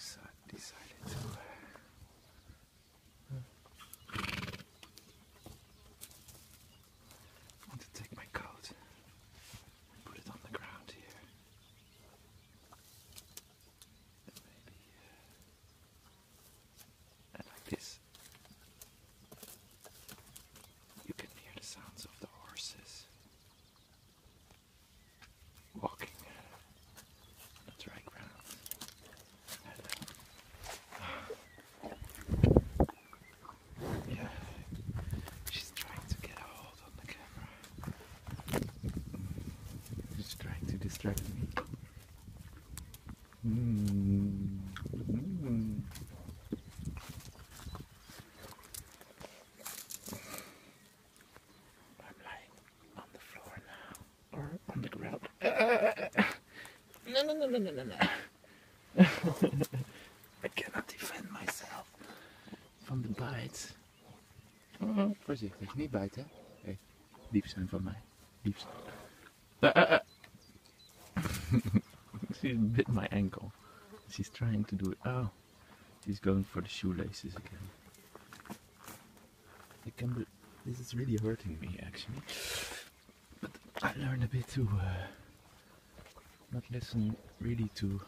So I decided to. Uh, to take my coat and put it on the ground here. And maybe. like this. You can hear the sounds of the horses walking on the dry ground. yeah, she's trying to get a hold on the camera. She's trying to distract me. Hmm. Hmm. I'm lying on the floor now, or on the ground. no, no, no, no, no, no, I cannot defend myself from the bite. Oh, voorzichtig, niet bijten. Hè? zijn van mij. Lief uh, uh, uh. she bit my ankle. She's trying to do it. Oh, she's going for the shoelaces again. I can be, this is really hurting me actually. But I learned a bit to uh, not listen really to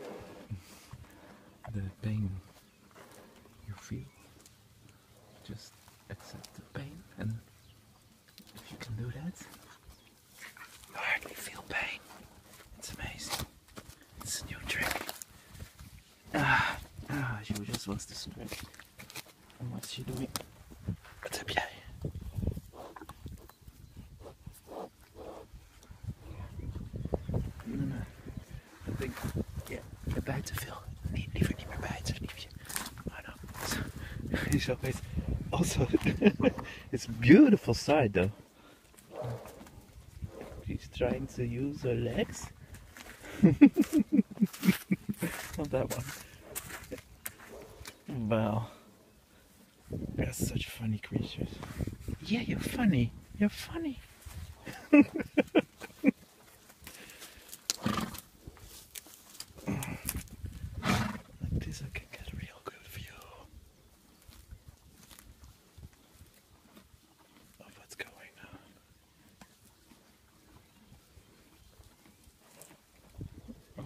the pain you feel. Just accept the pain and you can do that. I hardly feel pain. It's amazing. It's a new trick. Ah, ah she just wants to stretch. And what's she doing? What's up, yeah? No, no. Ik denk, ja, je buiten veel. Nee, liever niet meer buiten. Liever I know. so it's also it's beautiful side though. She's trying to use her legs. Not that one. Wow. They're such funny creatures. Yeah, you're funny. You're funny. Like this I can get a real good view of what's going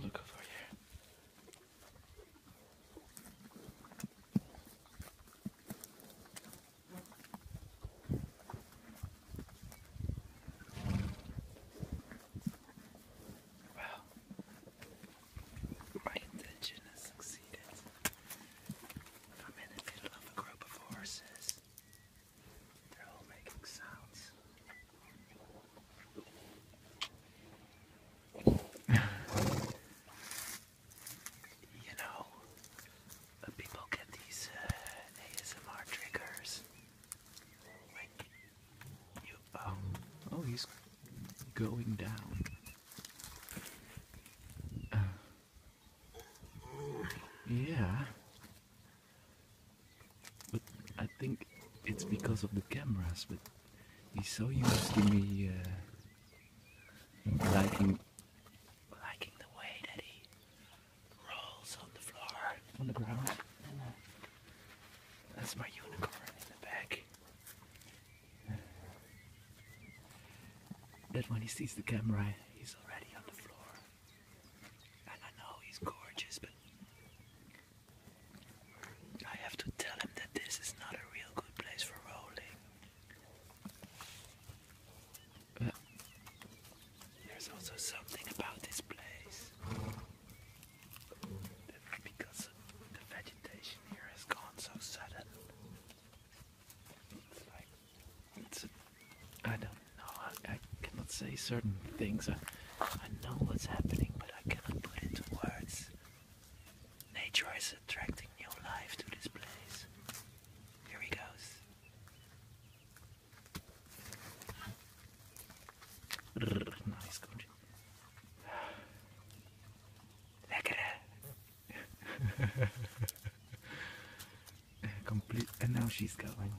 on. look over here. Well, my intention has succeeded. I'm in the middle of a group of horses. They're all making sounds. you know, people get these uh, ASMR triggers Oh, um, oh. he's going down. Uh, yeah. But I think it's because of the cameras, but he's so used to me uh, liking liking the way that he rolls on the floor, on the ground. That's my unicorn in the back. That when he sees the camera, he's already on the floor. And I know he's gorgeous, but I have to tell him that this is not a real good place for rolling. There's also something about this place. Because the vegetation here has gone so sudden. It's like, I don't know, I, cannot say certain things. I, know what's happening, but I cannot put it words. Nature is attracting new life to this place. Here he goes nice, good. Lekker. Complete, and now she's going.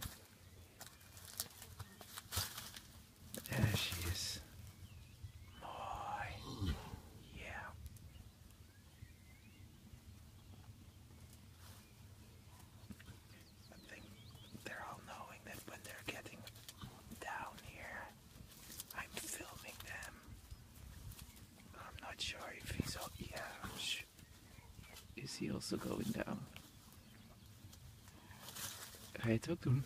There she is. Mooi. Yeah. I think they're all knowing that when they're getting down here, I'm filming them. I'm not sure if he's all. Yeah, Is he also going down? I talked to him.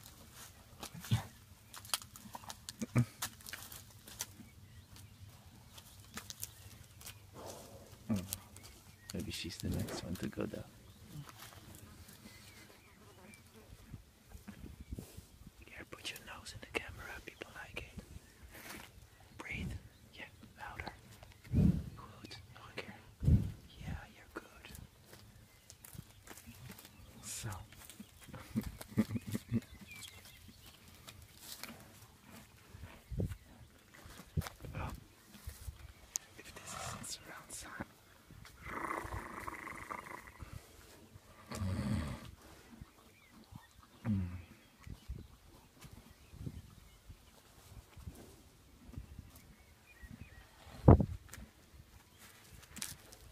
Mm. Maybe she's the next one to go down. Yeah, put your nose in the camera. People like it. Breathe. Yeah, louder. Good. Okay. Yeah, you're good. So. Well, if this isn't surround sound, mm.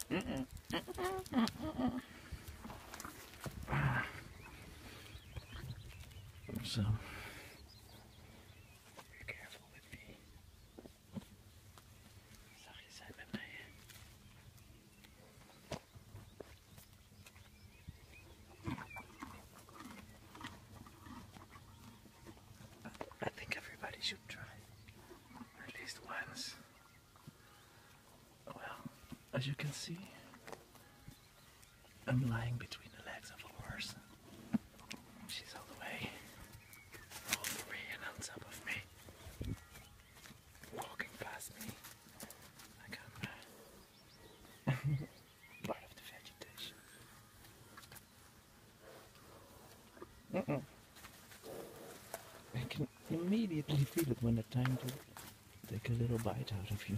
Mm -mm. so I think everybody should try at least once. Well, as you can see, I'm lying between the legs of a horse. She's all the way, all and on top of me, walking past me I'm uh, part of the vegetation. Mm -mm. I can immediately feel it when it's time to take a little bite out of you.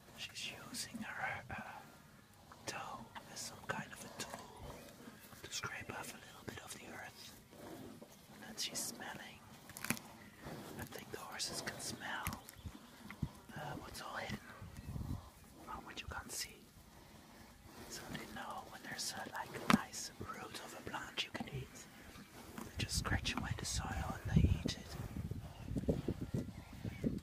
She's using her uh, toe as some kind of a tool to scrape off a little bit of the earth. And then she's smelling. I think the horses can smell uh, what's all hidden, or what you can't see. So they know when there's like a nice root of a plant you can eat. They just scratch away the soil and they eat it.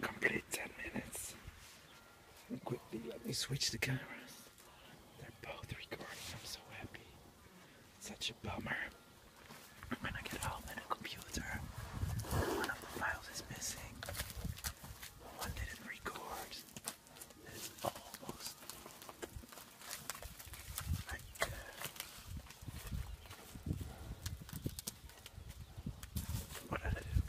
complete 10 minutes. And quickly let me switch the cameras. They're both recording, I'm so happy. Such a bummer. When I get home and computer, one of the files is missing. One didn't record. It's almost like uh, what did I do?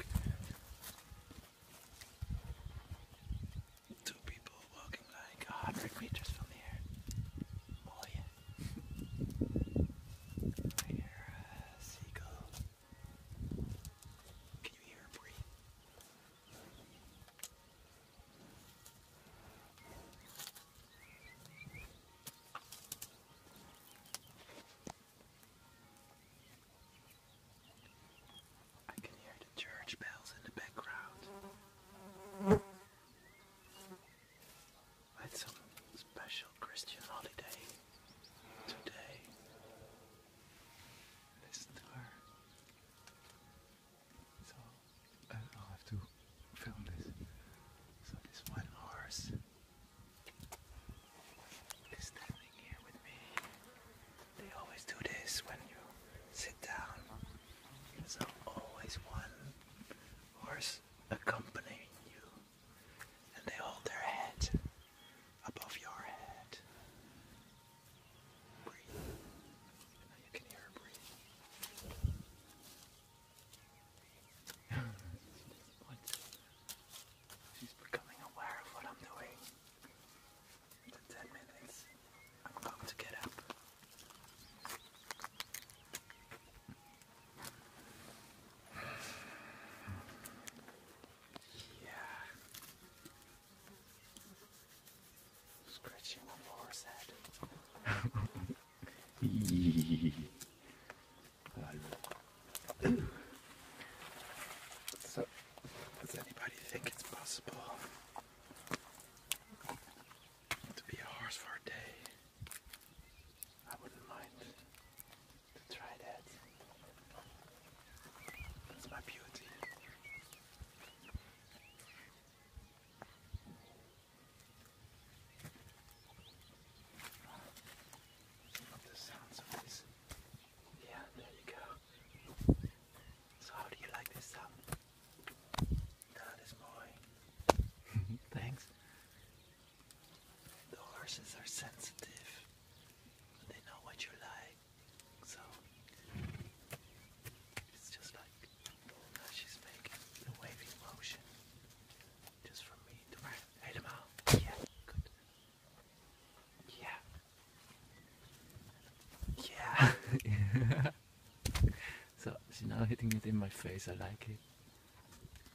Two people walking like a hundred meters from here. Oh yeah. I hear a seagull. Can you hear her breathe? I can hear the church bells in the background. It's some special Christian holiday today. Listen to her. So, I'll have to film this. So this one horse is standing here with me. They always do this when you sit down. There's always one horse accompanying you. And they hold their head above your head. Breathe. now you can hear breathe. She's becoming aware of what I'm doing. In 10 minutes, I'm going to get up. Yeah. Scratching the horse head. so, does anybody think it's possible to be a horse for a day? I wouldn't mind to try that. That's my beauty. Yeah, there you go. So how do you like this sound? That is boy. Thanks. The horses are sensitive. They know what you like. So it's just like she's making the waving motion just for me to out. Yeah, good. Yeah. Yeah. so she's now hitting it in my face. I like it.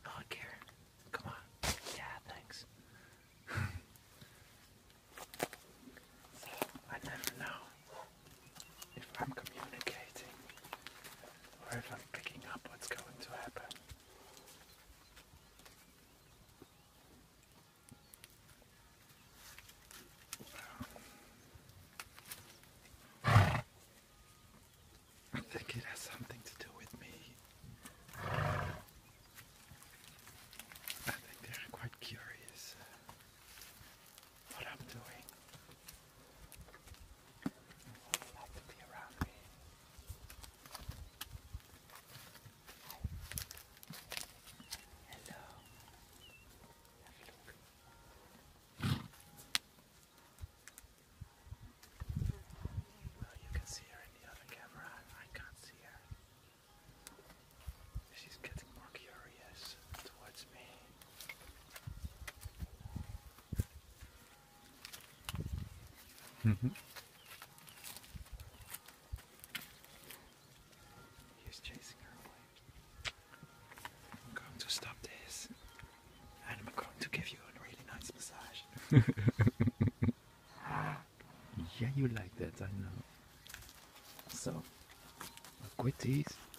I care. Come on. Yeah, thanks. I never know if I'm communicating or if I'm picking up what's going to happen. I think it has something to do with me. I think they're quite curious what I'm doing. I would like to be around me. Hello. Have a look. Well, you can see her in the other camera. I can't see her. She's getting more curious towards me. Mm-hmm. He's chasing her away. I'm going to stop this, and I'm going to give you a really nice massage. yeah, you like that, I know. So, quit these